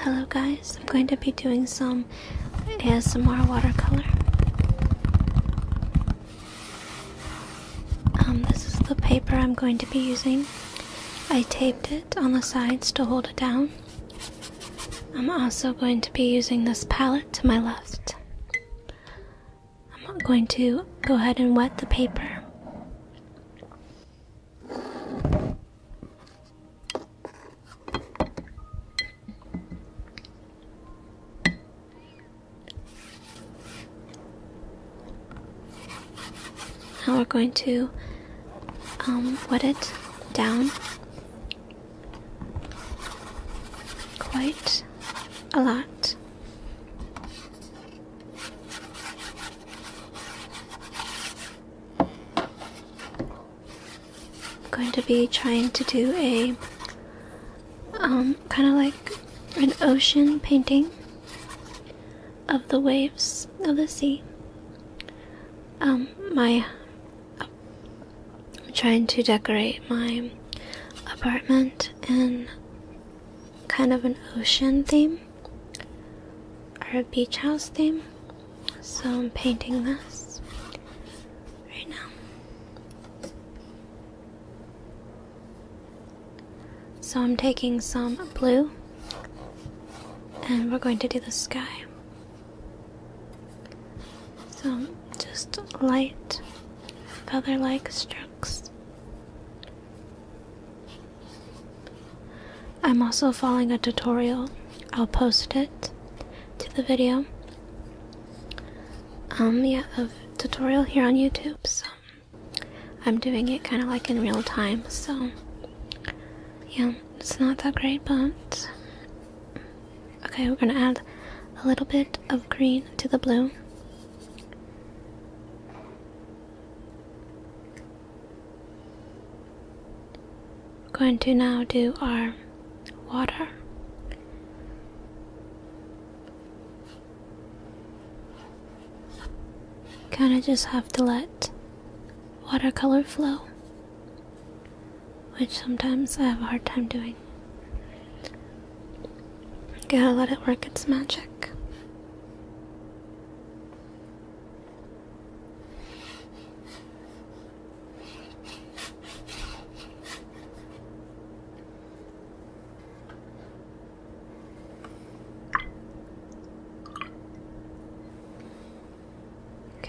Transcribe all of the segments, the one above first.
Hello guys, I'm going to be doing some ASMR watercolor. Um, this is the paper I'm going to be using. I taped it on the sides to hold it down. I'm also going to be using this palette to my left. I'm going to go ahead and wet the paper. Now we're going to um, wet it down quite a lot. I'm going to be trying to do a um, kind of like an ocean painting of the waves of the sea. Um, my I'm trying to decorate my apartment in kind of an ocean theme our beach house theme. So I'm painting this right now. So I'm taking some blue and we're going to do the sky. So just light feather like strokes. I'm also following a tutorial. I'll post it to the video. Um, yeah, a tutorial here on YouTube. So I'm doing it kind of like in real time. So yeah, it's not that great, but okay, we're gonna add a little bit of green to the blue. We're going to now do our water. Kind of just have to let watercolor flow, which sometimes I have a hard time doing. Gotta let it work its magic.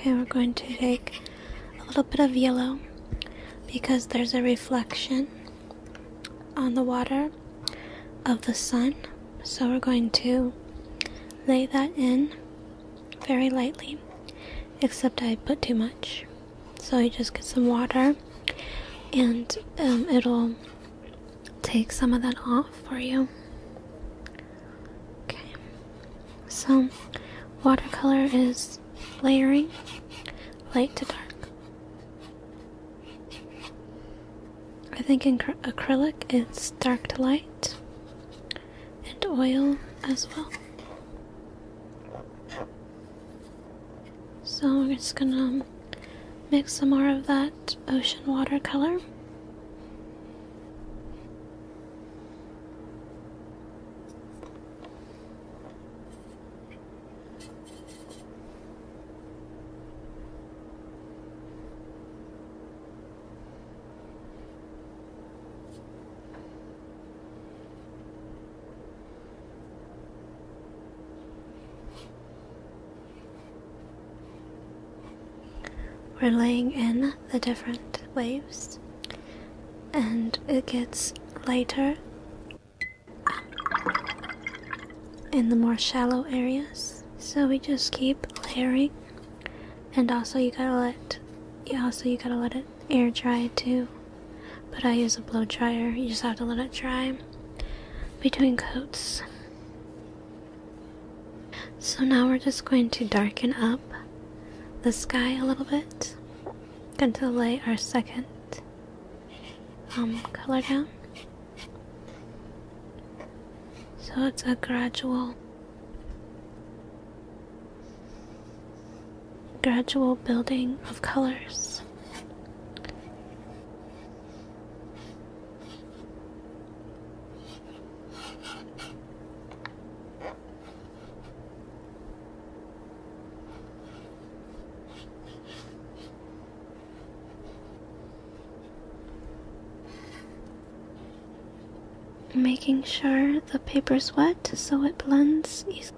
Okay, we're going to take a little bit of yellow because there's a reflection on the water of the sun so we're going to lay that in very lightly, except I put too much. So I just get some water and um, it'll take some of that off for you. Okay, so watercolor is layering light to dark. I think in acrylic it's dark to light, and oil as well. So I'm just gonna mix some more of that ocean watercolor. We're laying in the different waves, and it gets lighter in the more shallow areas, so we just keep layering and also you gotta let yeah also you gotta let it air dry too but i use a blow dryer you just have to let it dry between coats so now we're just going to darken up the sky a little bit going to lay our second um, color down so it's a gradual gradual building of colors. Making sure the paper's wet so it blends easily.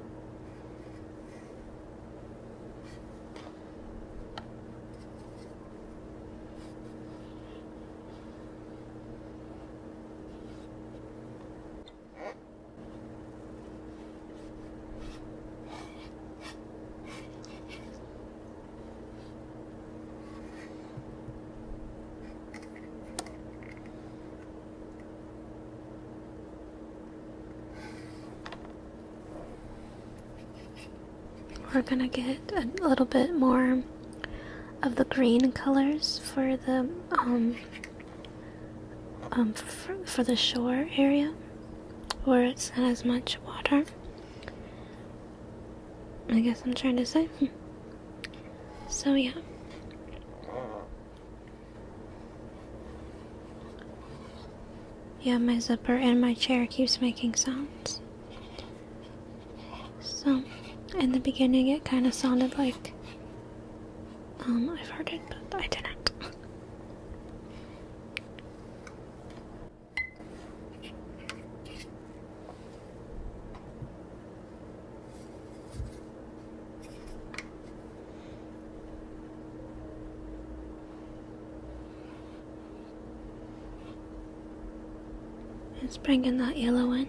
We're gonna get a little bit more of the green colors for the um um for, the shore area where it's not as much water. I guess I'm trying to say. So, yeah. Yeah, my zipper and my chair keeps making sounds. So, in the beginning, it kind of sounded like um, I've heard it, but I didn't. It's bringing that yellow in.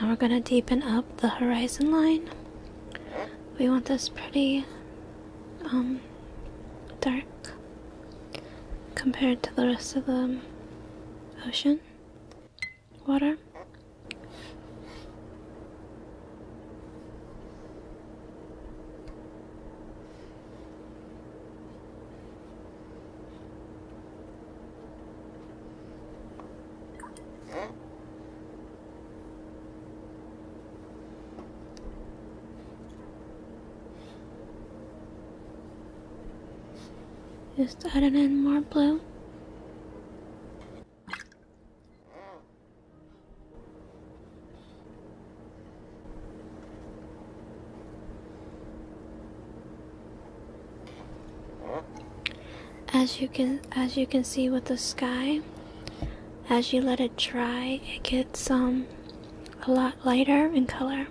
Now we're going to deepen up the horizon line. We want this pretty um, dark compared to the rest of the ocean water. Just added in more blue. As you can as you can see with the sky, as you let it dry, it gets um a lot lighter in color.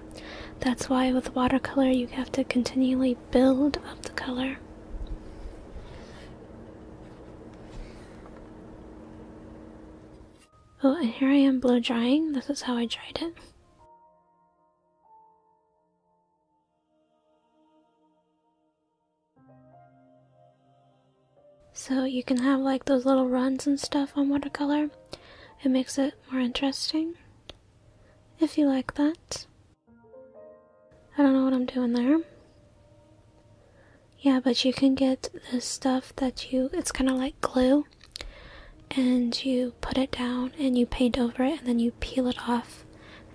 That's why with watercolor you have to continually build up the color. Oh, and here I am blow drying. This is how I dried it. So you can have like those little runs and stuff on watercolor. It makes it more interesting. If you like that. I don't know what I'm doing there. Yeah, but you can get the stuff that you, it's kind of like glue, and you put it down and you paint over it, and then you peel it off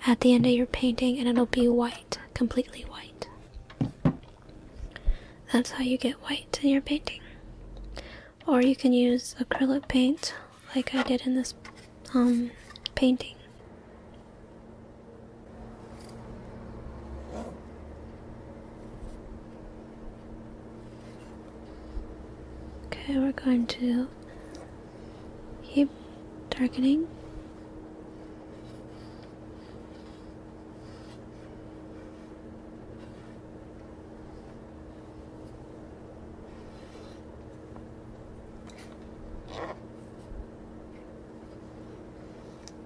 at the end of your painting, and it'll be white, completely white. That's how you get white in your painting. Or you can use acrylic paint, like I did in this um, painting. Okay, we're going to keep darkening.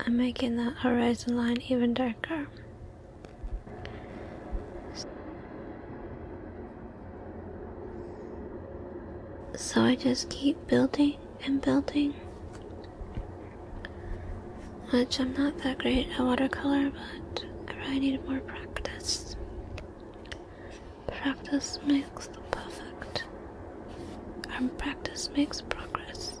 I'm making that horizon line even darker. So I just keep building and building. Which I'm not that great at watercolor, but I need more practice. Practice makes the perfect. And um, practice makes progress.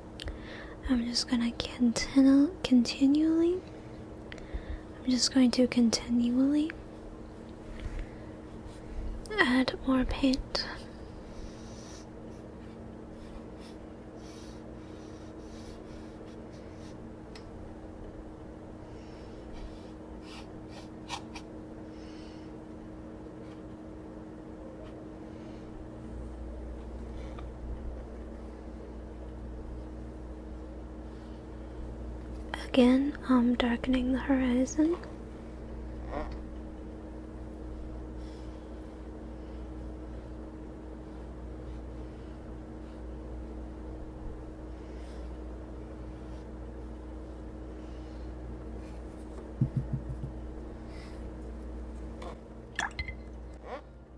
I'm just gonna continue continually. I'm just going to continually add more paint. Again, I'm um, darkening the horizon.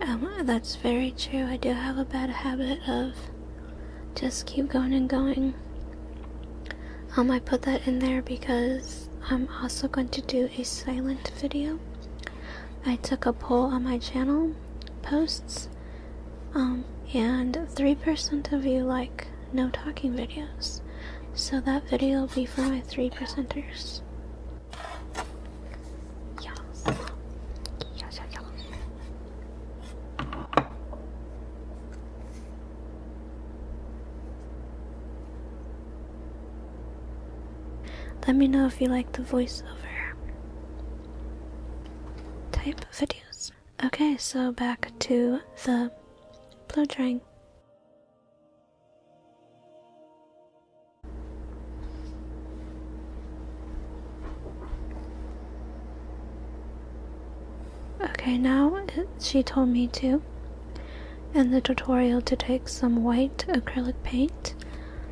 Um, that's very true. I do have a bad habit of just keep going and going. Um, I put that in there because I'm also going to do a silent video. I took a poll on my channel posts, um, and 3% of you like no talking videos. So that video will be for my 3 percenters. Yes. Yes, yes, let me know if you like the voiceover type videos. Okay, so back to the blow drying. Okay, now she told me to in the tutorial to take some white acrylic paint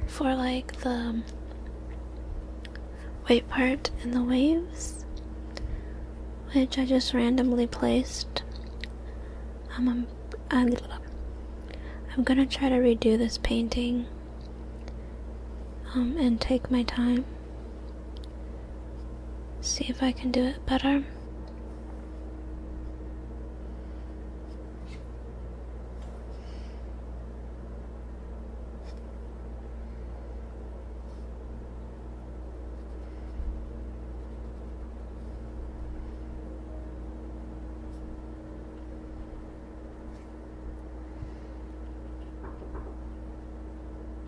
for like the white part and the waves, which I just randomly placed. Um, I'm, I'm gonna try to redo this painting um, and take my time. See if I can do it better.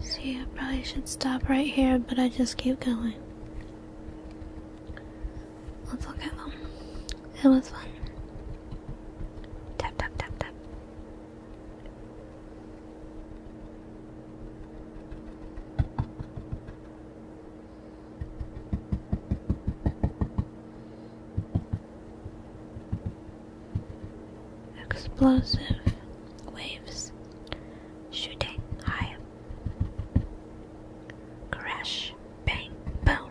See, I probably should stop right here, but I just keep going. Let's look at them. It was fun. Tap, tap, tap, tap. Explosive waves shooting high. Crash, bang, boom.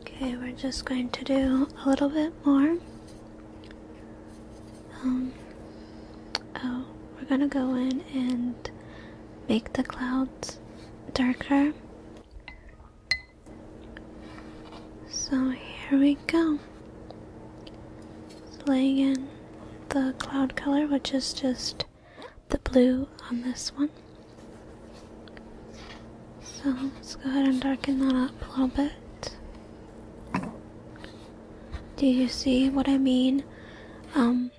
Okay, we're just going to do a little bit more. Um, oh, we're gonna go in and make the clouds darker. So here we go. Laying in the cloud color, which is just the blue on this one. So let's go ahead and darken that up a little bit. Do you see what I mean? Um,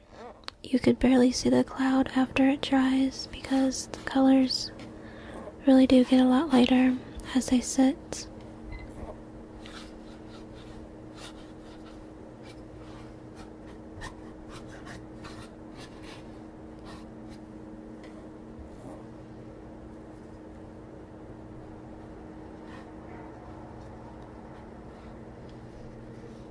you could barely see the cloud after it dries because the colors really do get a lot lighter as they sit.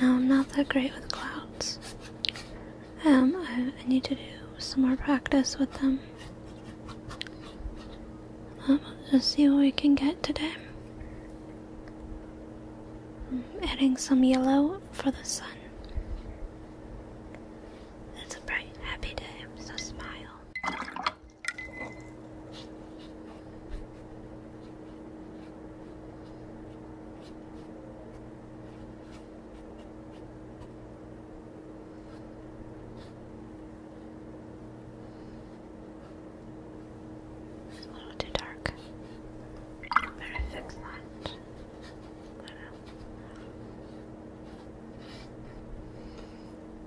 No, I'm not that great with clouds. Um, I, need to do some more practice with them. Um, let's see what we can get today. I'm adding some yellow for the sun. It's a bright, happy day, I'm so smile. It's a little too dark. Better fix that.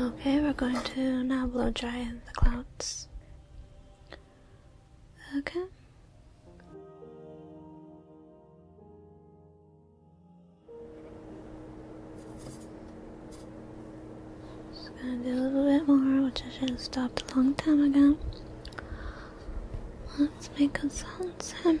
Okay, we're going to now blow dry the clouds. Okay. Just gonna do a little bit more, which I should have stopped a long time ago. Let's make a Sam.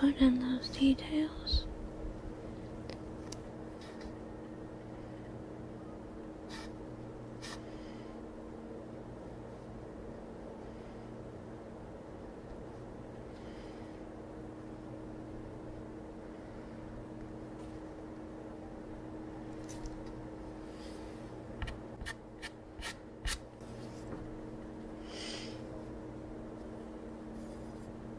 put in those details.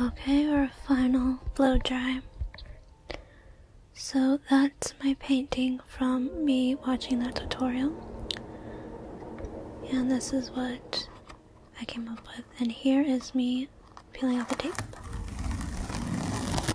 Okay, our final blow dry. So that's my painting from me watching that tutorial. And this is what I came up with. And here is me peeling off the tape.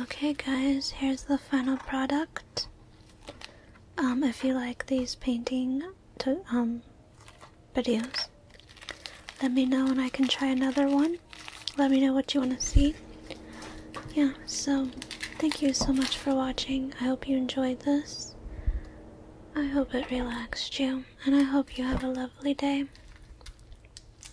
Okay, guys, here's the final product. Um, if you like these painting um, videos, let me know and I can try another one. Let me know what you want to see. Yeah, so thank you so much for watching. I hope you enjoyed this. I hope it relaxed you, and I hope you have a lovely day.